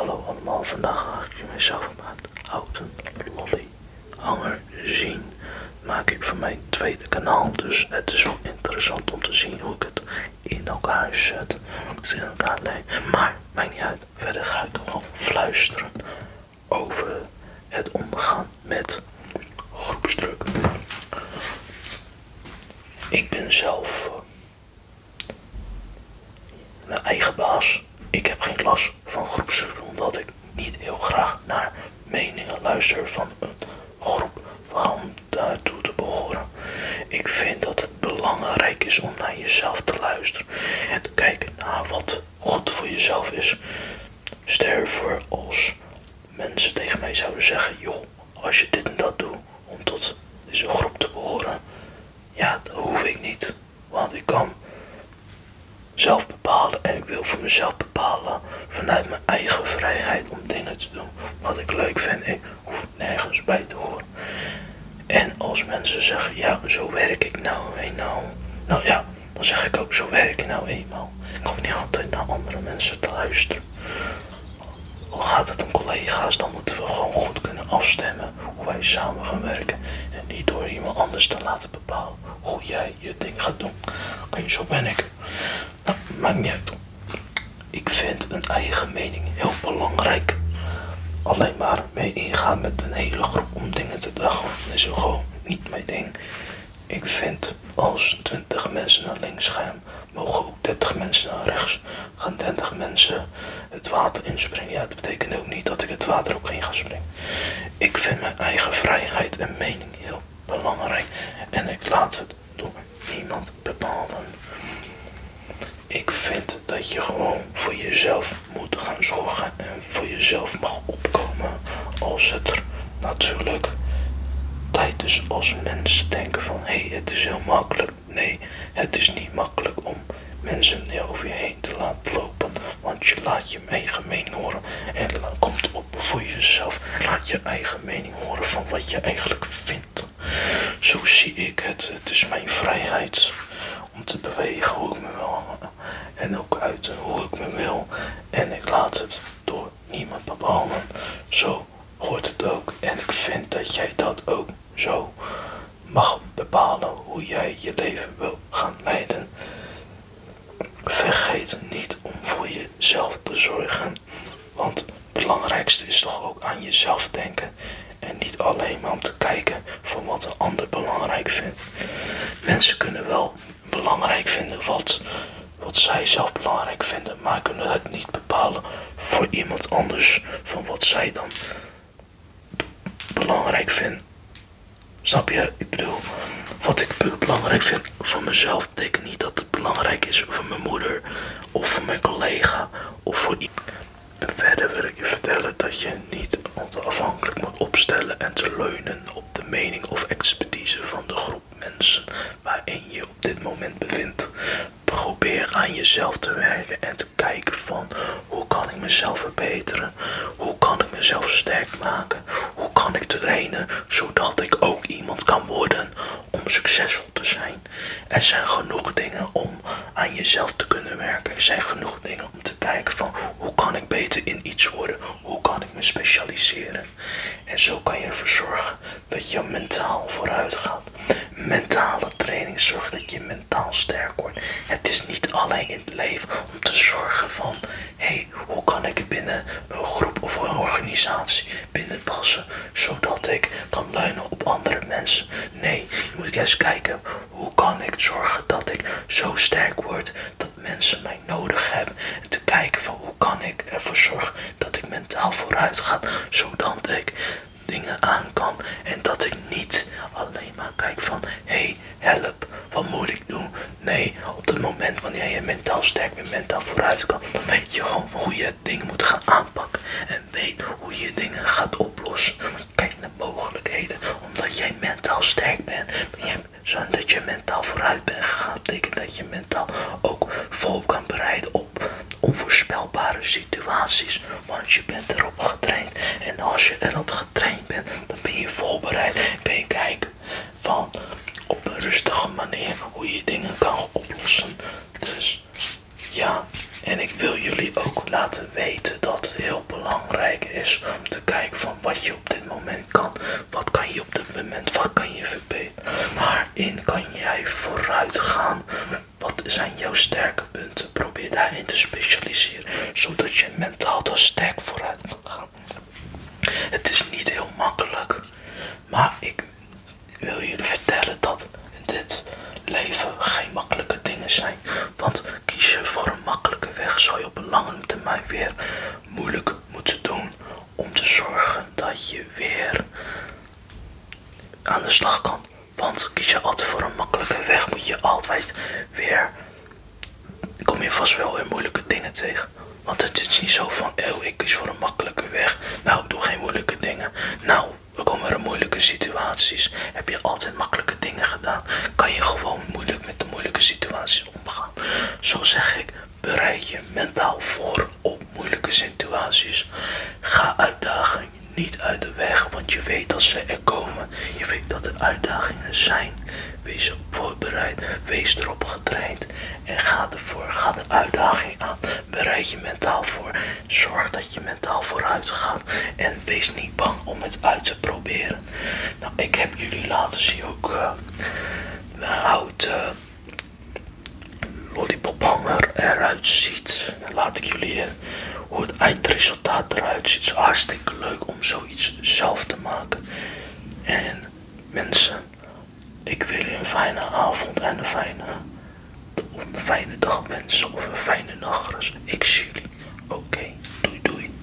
Hallo allemaal, vandaag ga ik mezelf maat oude lolly hanger zien. Maak ik van mijn tweede kanaal, dus het is wel interessant om te zien hoe ik het in elkaar zet. Het in elkaar neem. maar maakt niet uit. Verder ga ik gewoon fluisteren over het omgaan met groepsdruk. Ik ben zelf eh, mijn eigen baas. Ik heb geen last van groepsdruk omdat ik niet heel graag naar meningen luister van een groep waarom daartoe te behoren. Ik vind dat het belangrijk is om naar jezelf te luisteren en te kijken naar wat goed voor jezelf is. Ster voor als mensen tegen mij zouden zeggen: joh, als je dit en dat doet om tot deze groep te behoren, ja, dat hoef ik niet. Want ik kan zelf bepalen en ik wil voor mezelf bepalen vanuit mijn eigen vrijheid om dingen te doen wat ik leuk vind. Ik hoef nergens bij te horen. En als mensen zeggen, ja, zo werk ik nou eenmaal. Nou ja, dan zeg ik ook, zo werk ik nou eenmaal. Ik hoef niet altijd naar andere mensen te luisteren. Al gaat het om collega's, dan moeten we gewoon goed kunnen afstemmen hoe wij samen gaan werken. En niet door iemand anders te laten bepalen hoe jij je ding gaat doen. Oké, zo ben ik. Nou, maakt niet Ik vind een eigen mening heel belangrijk. Alleen maar mee ingaan met een hele groep om dingen te dagen is gewoon niet mijn ding. Ik vind als 20 mensen naar links gaan, mogen ook 30 mensen naar rechts gaan mensen het water inspringen. Ja, dat betekent ook niet dat ik het water ook in ga springen. Ik vind mijn eigen vrijheid en mening heel belangrijk. En ik laat het door niemand bepalen. Ik vind dat je gewoon voor jezelf moet gaan zorgen en voor jezelf mag opkomen als het natuurlijk tijd is als mensen denken van hey, het is heel makkelijk Nee, het is niet makkelijk om mensen over je heen te laten lopen, want je laat je eigen mening horen en komt op voor jezelf. Laat je eigen mening horen van wat je eigenlijk vindt. Zo zie ik het. Het is mijn vrijheid om te bewegen hoe ik me wil en ook uit hoe ik me wil. En ik laat het door niemand bepalen. Zo hoort het ook. En ik vind dat jij dat ook zo mag bepalen hoe jij je leven wil gaan leiden. Vergeet niet om voor jezelf te zorgen. Want het belangrijkste is toch ook aan jezelf denken. En niet alleen maar om te kijken van wat een ander belangrijk vindt. Mensen kunnen wel belangrijk vinden wat wat zij zelf belangrijk vinden, maar kunnen het niet bepalen voor iemand anders van wat zij dan belangrijk vindt. Snap je? Ik bedoel, wat ik belangrijk vind voor mezelf betekent niet dat het belangrijk is voor mijn moeder of voor mijn collega of voor iemand. Verder wil ik je vertellen dat je niet onafhankelijk moet opstellen en te leunen op de mening of expertise van de groep mensen waarin je op dit moment bevindt. Probeer aan jezelf te werken en te kijken van hoe kan ik mezelf verbeteren? Hoe kan ik mezelf sterk maken? Hoe kan ik trainen zodat ik ook iemand kan worden om succesvol te zijn? Er zijn genoeg dingen om aan jezelf te kunnen werken. Er zijn genoeg dingen om te kijken van hoe kan ik beter in iets worden? Hoe kan ik me specialiseren? En zo kan je ervoor zorgen dat je mentaal vooruit gaat. Mentale training zorgt dat je mentaal sterk wordt. Het is niet alleen in het leven om te zorgen van hey, hoe kan ik binnen een groep of een organisatie binnenpassen zodat ik kan leunen op andere mensen. Nee, je moet juist kijken hoe kan ik zorgen dat ik zo sterk word dat mensen mij nodig heb En te kijken van hoe kan ik ervoor zorgen dat ik mentaal vooruit ga. Zodat ik dingen aan kan. En dat ik niet alleen maar kijk van hey help, wat moet ik doen? Nee, op het moment wanneer jij mentaal sterk bent, mentaal vooruit kan, dan weet je gewoon hoe je dingen moet gaan aanpakken. En weet hoe je dingen gaat oplossen. Kijk naar mogelijkheden, omdat jij mentaal sterk bent zodat je mentaal vooruit bent gegaan, betekent dat je mentaal ook vol kan bereiden op onvoorspelbare situaties, want je bent erop getraind. En als je erop getraind bent, dan ben je voorbereid, ben je kijken van op een rustige manier hoe je dingen kan oplossen. Dus ja, en ik wil jullie ook laten weten dat het heel belangrijk is om te kijken van wat je op dit moment kan, wat kan je op dit moment, wat kan je Waarin kan jij vooruit gaan? Wat zijn jouw sterke punten? Probeer daarin te specialiseren, zodat je mentaal daar sterk vooruit kan gaan. Het is niet heel makkelijk, maar ik wil jullie vertellen dat in dit leven geen makkelijke dingen zijn. Want kies je voor een makkelijke weg, zal je op een lange termijn weer moeilijke moeten doen om te zorgen dat je weer aan de slag kan. Want kies je altijd voor een makkelijke weg, moet je altijd weer. Kom je vast wel weer moeilijke dingen tegen. Want het is niet zo van, oh, ik kies voor een makkelijke weg. Nou, doe geen moeilijke dingen. Nou, we komen er moeilijke situaties. Heb je altijd makkelijke dingen gedaan? Kan je gewoon moeilijk met de moeilijke situaties omgaan? Zo zeg ik, Bereid je mentaal voor op moeilijke situaties. Ga uitdagingen niet uit de weg, want je weet dat ze er komen. Je weet dat er uitdagingen zijn. Wees op voorbereid, wees erop getraind en ga ervoor. Ga de uitdaging aan. Bereid je mentaal voor. Zorg dat je mentaal vooruit gaat en wees niet bang om het uit te proberen. Nou, ik heb jullie laten zien ook uh, een houten lollipophanger eruit ziet. Dan laat ik jullie eh, hoe het eindresultaat eruit ziet. Het hartstikke leuk om zoiets zelf te maken. En mensen, ik wens jullie een fijne avond en een fijne, een fijne dag mensen of een fijne nacht. Ik zie jullie. Oké, doei doei.